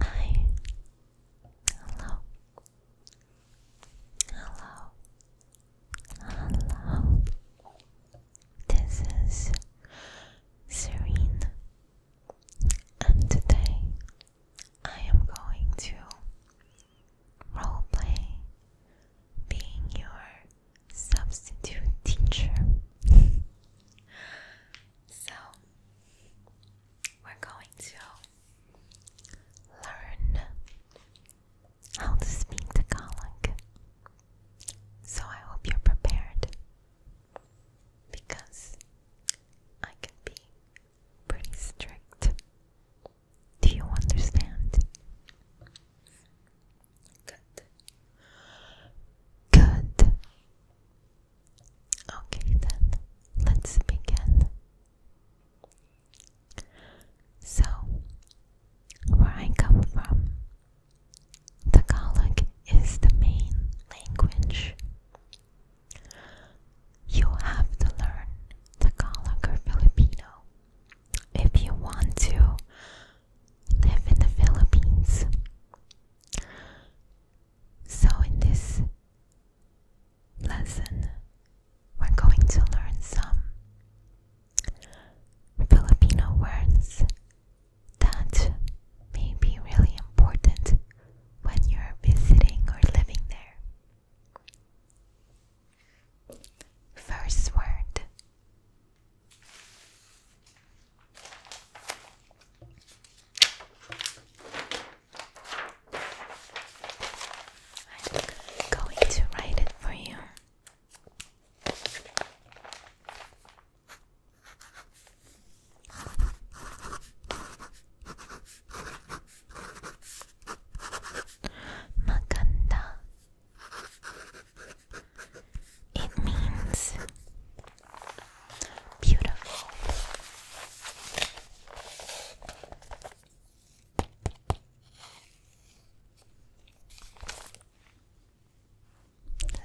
Hi. Hello. Hello. Hello. This is Serene, and today I am going to roleplay being your substitute teacher. so, we're going to learn how to speak Tagalog. So, I hope you're prepared because I can be pretty strict. Do you understand? Good. Good. Okay, then let's begin. So, where I come from, Tagalog is the main language. You have to learn Tagalog or Filipino if you want to live in the Philippines. So, in this lesson, we're going to learn some Filipino words that may be really important when you're visiting or living there. First word I'm going to write it for you. Maganda it means beautiful.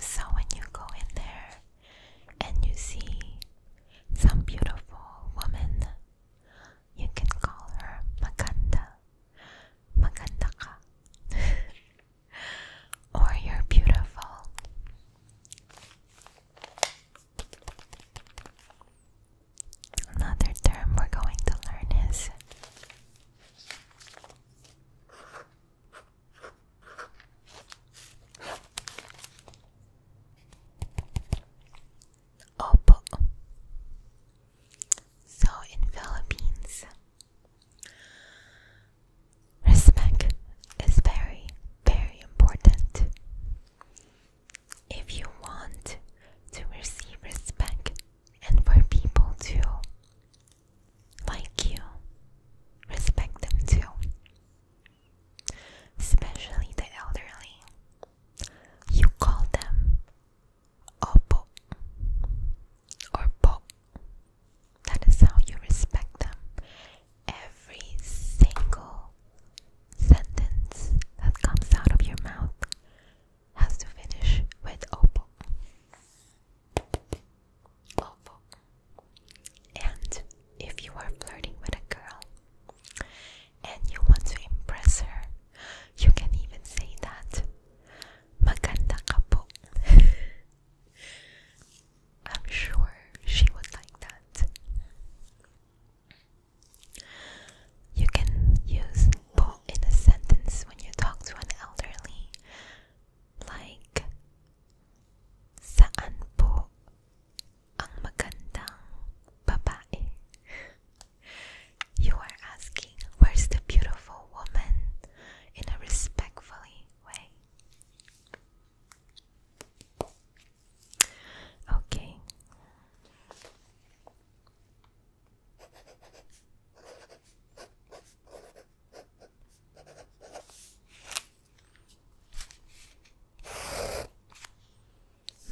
So when you go in there and you see some beautiful woman, you can call her Makanda. Maganda or you're beautiful. Another term we're going to learn is Opo. So in Philippines, Respect is very, very important. If you want to receive respect and for people to like you, respect them too. Especially the elderly. You call them Oppo or pop. That is how you respect them. Every single sentence that comes out of your mouth has to finish with opo. Opo. And if you are flirting with a girl and you want to impress her, you can even say that Maganda ka I'm sure she would like that. You can use po in a sentence when you talk to an elderly. Like, saan po ang magandang babae? You are asking, where's the beautiful woman? in a respectfully way. Okay.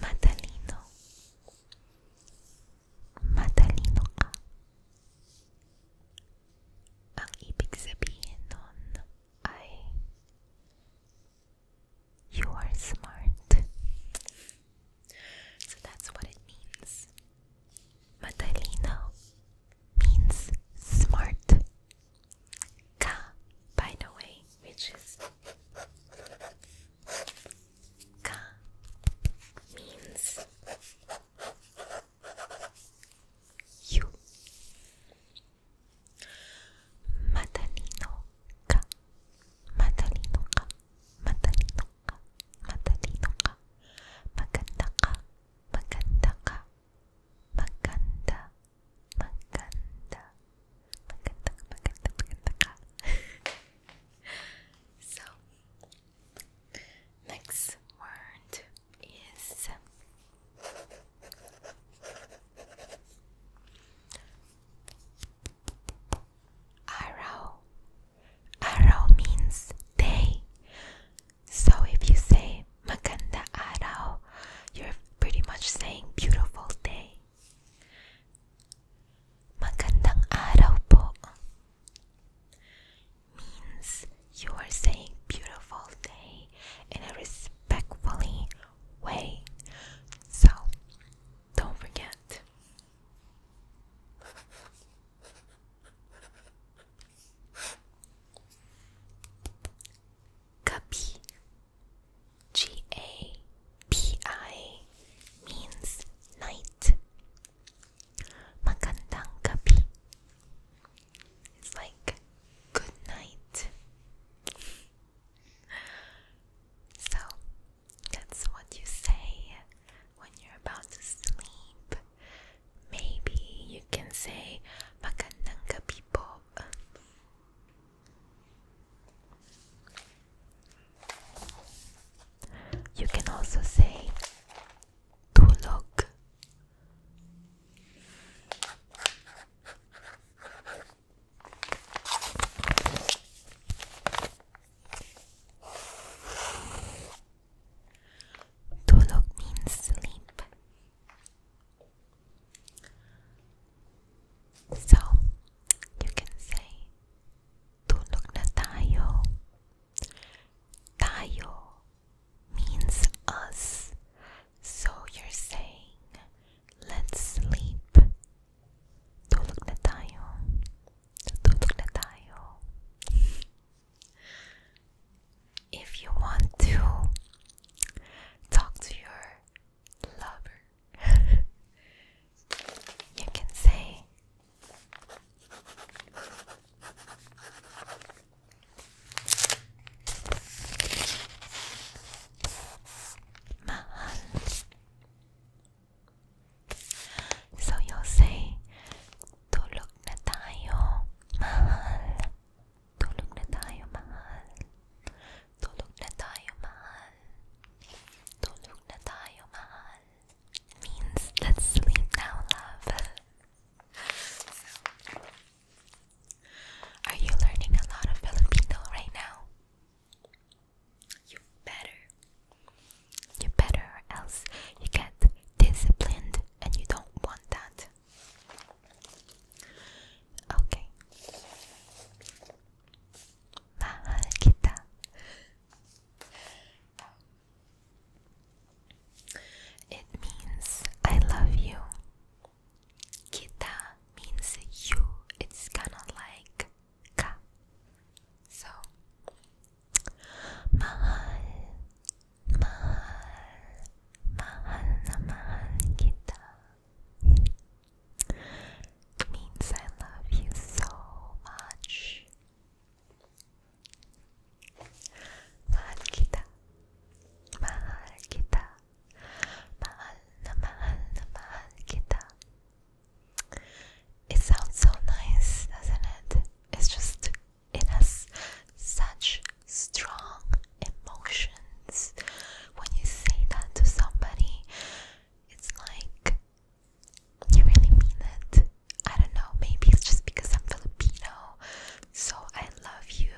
Matalino Matalino Ang ibig sabihin nun ay you are smart. So that's what it means. Matalino means smart. Ka, by the way, which is Ka means you Matalino ka Matalino ka Matalino ka Matalino ka Maganda ka Maganda So Next word is arrow. Arrow means day. So if you say maganda araw, you're pretty much saying beautiful day. Magandang araw po means you are saying beautiful day in a respectfully way. So don't forget. Gapi G A P I means night. Magandang gabi. It's like good night. So that's what you say when you're about to sleep. Maybe you can say magandang gabi po. You can also say to look. To look means sleep. So you can say Tulog na tayo. Tayo means us. So you're saying, let's sleep. Tulog na tayo. Tulog na tayo. If you want to talk to your lover, you can say, Mahal. So you'll say, Tulog na tayo, mahal. Tulog na tayo, mahal. Tulog na tayo, mahal. Tulog na tayo, mahal means let's sleep now, love. are you learning a lot of Filipino right now? You better. You better, or else you get disciplined and you don't want that. Okay. Mahal kita. It means I love you. Kita means you. It's kind of like ka. So, mahal, mahal, mahal na mahal kita. means I love you so much. Mahal kita. Mahal kita. It sounds so nice, doesn't it? It's just, it has such strong emotions. When you say that to somebody, it's like you really mean it. I don't know, maybe it's just because I'm Filipino, so I love you.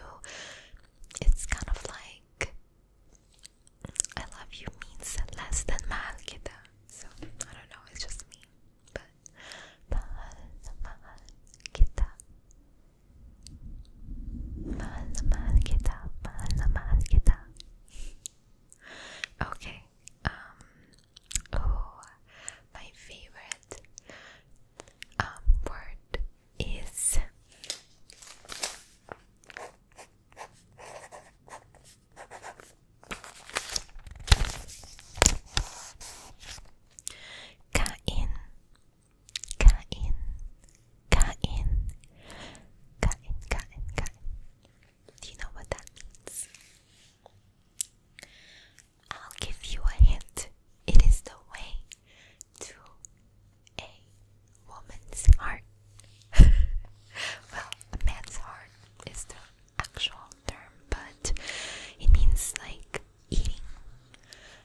It's kind of like I love you means less than mahal kita. So I don't know, it's just me. But mahal na mahal kita. Mahal na mahal kita. Mahal na mahal kita. Okay. Um Oh, my favorite um, word is kain, kain, kain, kain, kain, kain. Do you know what that means? I'll give you a hint. It is the way to a woman's heart. well, a man's heart is the actual term, but it means like eating.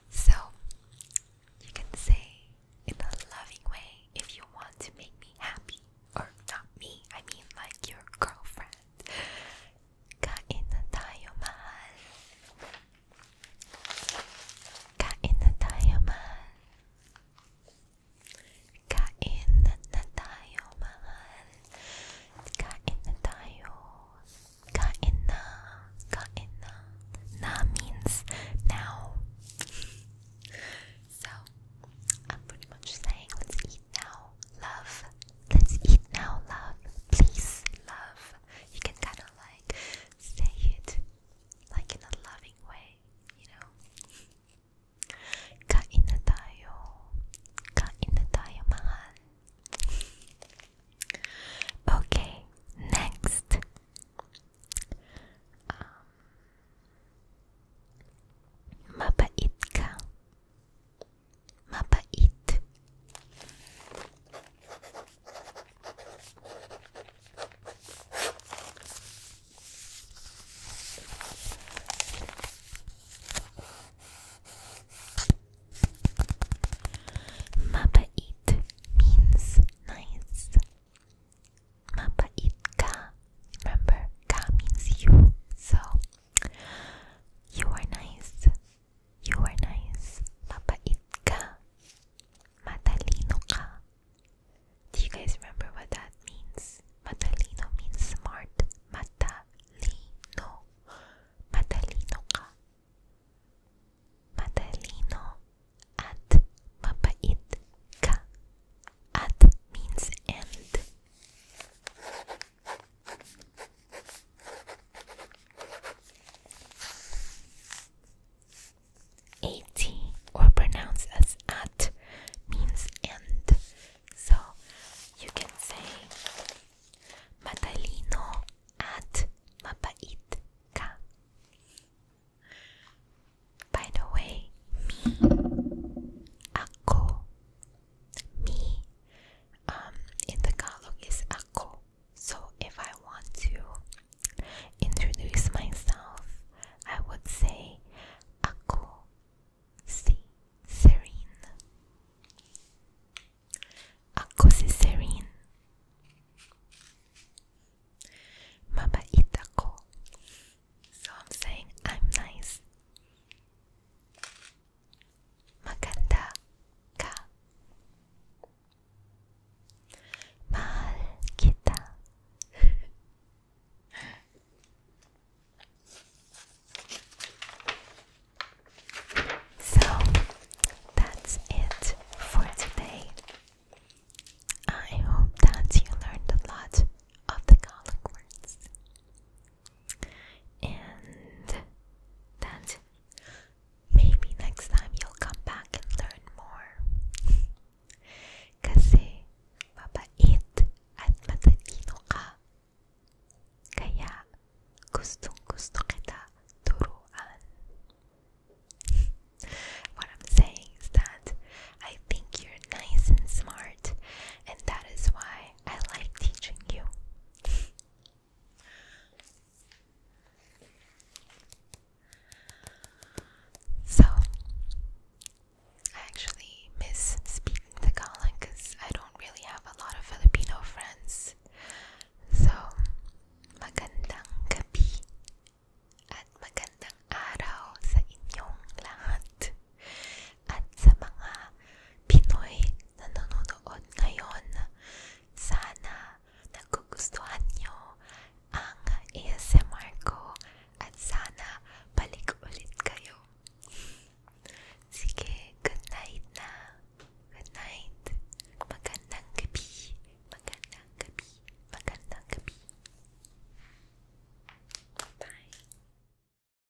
So you can say in a loving way if you want to make me happy, or not me, I mean like your girlfriend. Kain na tayo, mahal. Kain na tayo, mahal. Kain na tayo, mahal. Kain na tayo. Kain na. Kain na. Na means now. so, I'm pretty much saying let's eat now. Love. Let's eat now, love. Please, love. You can kind of like say it like in a loving way, you know. Kain na tayo. Kain na tayo, mahal. Okay, next. Um, mabait ka. Mabait. Mabait means nice. Mabait ka. Remember, ka means you. So you are nice. You are nice. Mapait ka. Matalino ka. Do you guys remember what that means? Matalino means smart. Matalino. Matalino ka. Matalino at mapait ka. At means end. Ati, or pronounced as at, means end. So you can say matalino at mapait ka. By the way, me, ako, me um, in Tagalog is ako. So if I want to introduce myself, I would say ako si Serene. Ako si Serene. Mabait So I'm saying I'm nice so that's it for today. I hope that you learned a lot of the Gaelic words and that maybe next time you'll come back and learn more. Kasi mabait at matalino ka. Kaya gustong gusto kita turuan. What I'm saying is that I think you're nice and smart, and that is why I like teaching you. so, I actually miss speaking to because I don't really have a lot of Filipino friends. So, magandang gabi at magandang araw sa inyong lahat. at sa mga Pinoy na nanonood ngayon. Sana nagugustuhan nyo ang ASMR ko at sana balik ulit kayo. Sige, good night na. Good night. Magandang gabi. Magandang gabi. Magandang gabi. Bye.